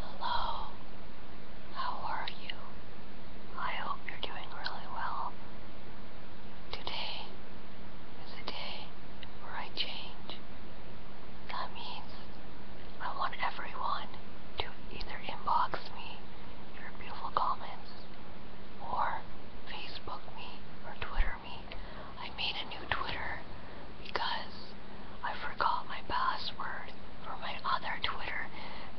Hello, how are you? I hope you're doing really well. Today is a day where I change. That means I want everyone to either inbox me your beautiful comments or Facebook me or Twitter me I made a new Twitter because I forgot my password for my other Twitter.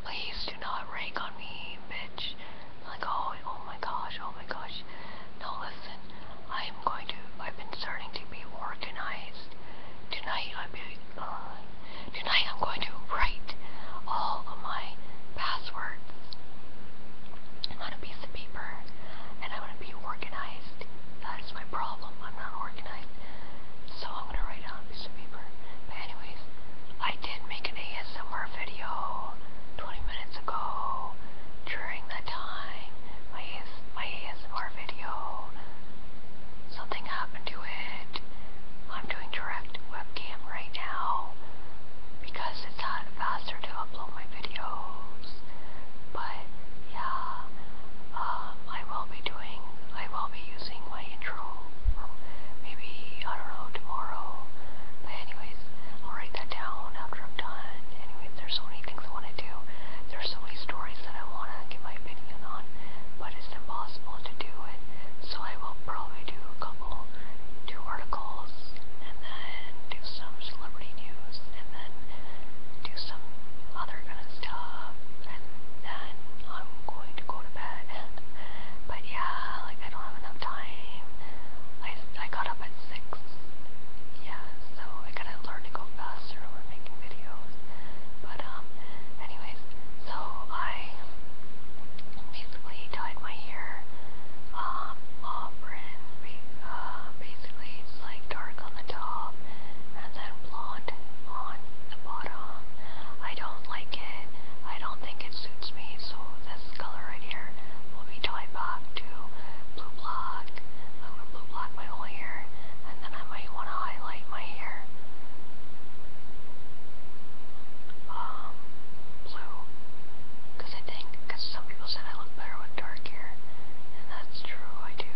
Please do not rake on me, bitch. Like, oh, oh my gosh, oh my gosh. Now listen, I'm going to, I've been starting to be organized. Tonight, I'm, uh, tonight I'm going to write all of my passwords on a piece of paper, and I'm going be organized. That is my problem. I'm not organized. So I'm going to write it piece of paper. anyways, I did make an ASMR video 20 minutes ago. During that time, my, AS my ASMR video, something happened to it. I'm doing direct webcam right now because it's faster to upload my videos. But yeah, uh, I will be doing, I will be using my intro, maybe, I don't know, tomorrow. But anyways, I'll write that down after I'm done. Anyways, there's so many things I want to do. There's so many stories that I want to give my opinion on, but it's impossible to do it. So I will probably do a couple, two articles, and then do some celebrity news and then do some other kind of stuff, and then I'm going to go to bed. But yeah, like I don't have enough time. I I got up at six. Yeah, so I gotta learn to go faster when making videos. But um, anyways, so I basically dyed my hair um auburn. Uh, basically, like dark on the top and then blonde on the bottom. I don't like it. I don't think it suits me, so this color right here will be tied back to blue black. blue black my whole hair and then I might want to highlight my hair. Um, blue. Because I think, because some people said I look better with dark hair here. And that's true, I do.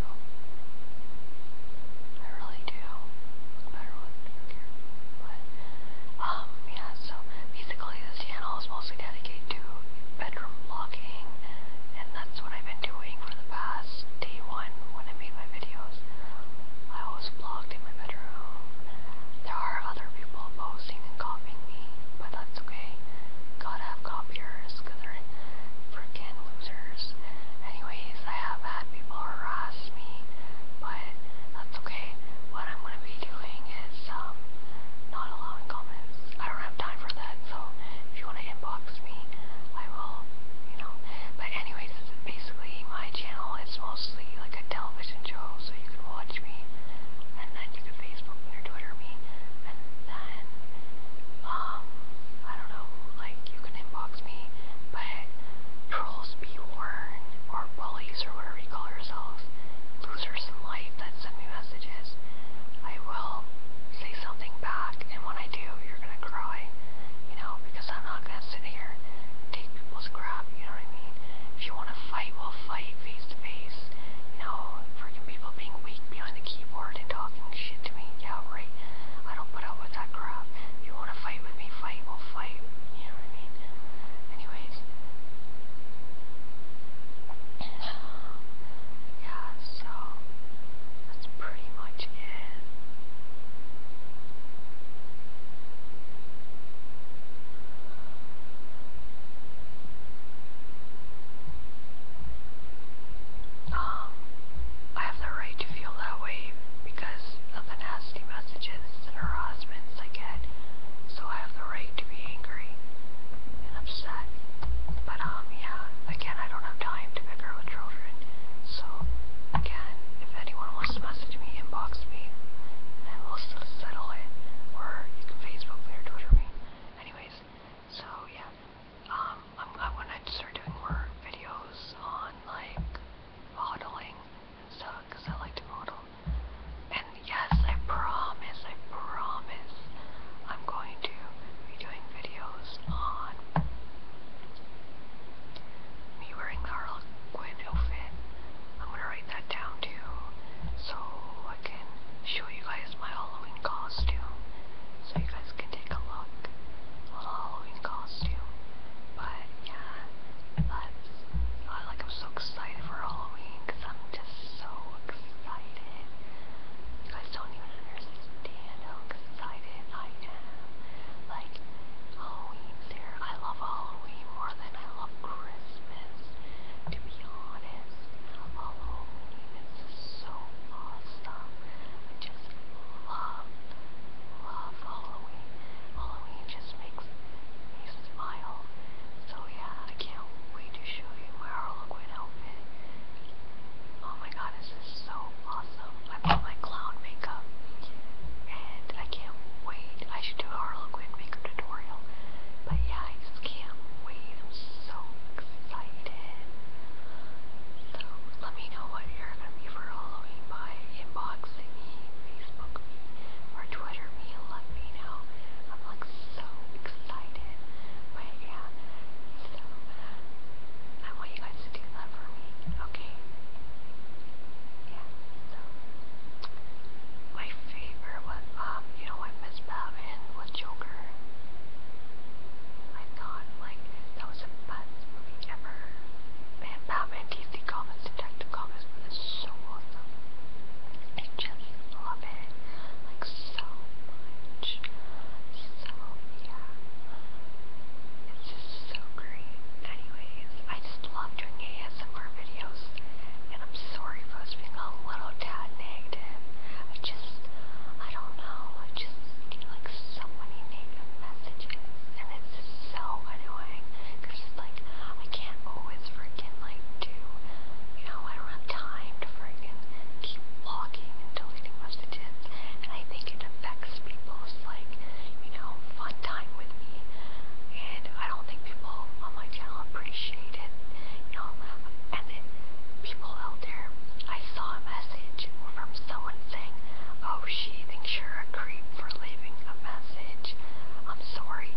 I really do. No matter what, I But, um, yeah, so basically this channel is mostly dedicated to bedroom vlogging, and that's what I've been doing for the past day one when I made my videos. I always vlogged in my bedroom. There are other people posting and copying me, but that's okay. got have they're freaking losers. Anyways, I have had people harass me, but that's okay. What I'm gonna be doing is um not allowing comments. I don't have time for that, so if you wanna inbox me, I will, you know. But anyways, basically my channel is mostly like a television show, so you can watch me and then you can Facebook me or Twitter me then um I don't know, like you can inbox me, but trolls be warned, or bullies or whatever you call yourselves, losers in life that send me messages, I will say something back and when I do you're gonna cry. You know, because I'm not gonna sit here take people's crap, you know what I mean? If you wanna fight, we'll fight face to face. You know, freaking people being weak behind the keyboard and talking shit to me, yeah, right. I don't put up with that crap. If you want to fight with me, fight, we'll fight. You know what I mean? Anyways. yeah, so that's pretty much it. Um, I have the right to feel that way because of the nasty messages and harassments I get. So I have the right to be angry and upset. But um, yeah, again, I don't have time to bicker with children. So again, if anyone wants to message me, inbox me, and we'll settle it. Or you can Facebook me or Twitter me. Anyways, so yeah, um, I'm, I want to start doing more videos on like modeling and stuff because I like to model. And yes, I promise, I promise, I'm going to be doing videos on me wearing the Harlequin outfit. I'm gonna write that down too, so I can show you guys my Halloween Halloween costume, so you guys can take a look. A little Halloween costume. But yeah, that's uh, like I'm so excited for Halloween because I'm just so excited. You guys don't even understand how excited I am. Like Halloween's here. I love Halloween more than I love Christmas. To be honest, Halloween is just so awesome just love, love Halloween. Halloween just makes me smile. So yeah, I can't wait to show you my Harlequin outfit. Oh my god, this is so awesome. I bought my clown makeup. And I can't wait. I should do a Harlequin makeup tutorial. But yeah, I just can't wait. I'm so excited. So let me know what you're gonna be for Halloween by inboxing me, Facebook me, or Twitter me. Let me know. I'm like so excited. But yeah, so I want you guys to do that for me, okay? Yeah. So my favorite one, um, you know, what Miss Batman was Joker. I thought like like thousand buds movie ever. Man, Batman DC Comics, Detective Comics was so awesome. I just love it. Like so much. So yeah. It's just so great. Anyways, I just love doing ASMR videos. And I'm sorry for being a little tad negative. I just I don't know, I just, like, so many negative messages, and it's so annoying, because it's like, I can't always freaking, like, do, you know, I don't have time to freaking keep blocking and deleting messages, and I think it affects people's, like, you know, fun time with me, and I don't think people on my channel appreciate it, you know, and then people out there I saw a message from someone saying, Oh, she thinks you a creep for leaving a message. I'm sorry.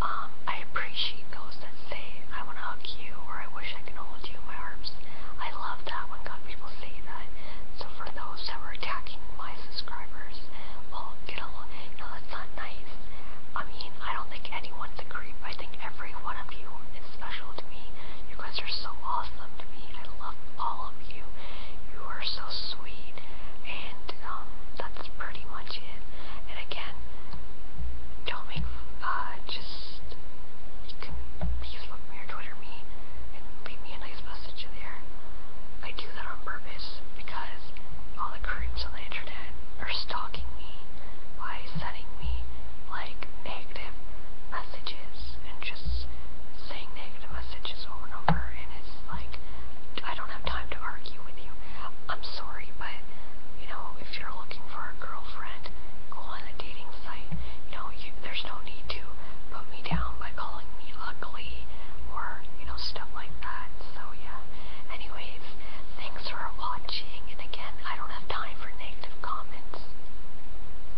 Um, I appreciate those that say, I want to hug you, or I wish I can hold you in my arms. I love that when people say that. So for those that were attacking my subscribers, well, get a you know, that's not nice. I mean, I don't think anyone's a creep. I think every one of you is special to me. You guys are so awesome to me. I love all you. You are so sweet, and um, that's pretty much it. And again, don't make uh, just you can me or Twitter me and leave me a nice message there. I do that on purpose because all the creeps on the internet are stalking me by sending me like negative messages and just saying negative messages over and over, and it's like I don't have time to argue with you. I'm sorry, but you know, if you're looking for a girlfriend, go on a dating site. You know, you, there's no need to put me down by calling me ugly or you know stuff like that. So yeah. Anyways, thanks for watching, and again, I don't have time for negative comments.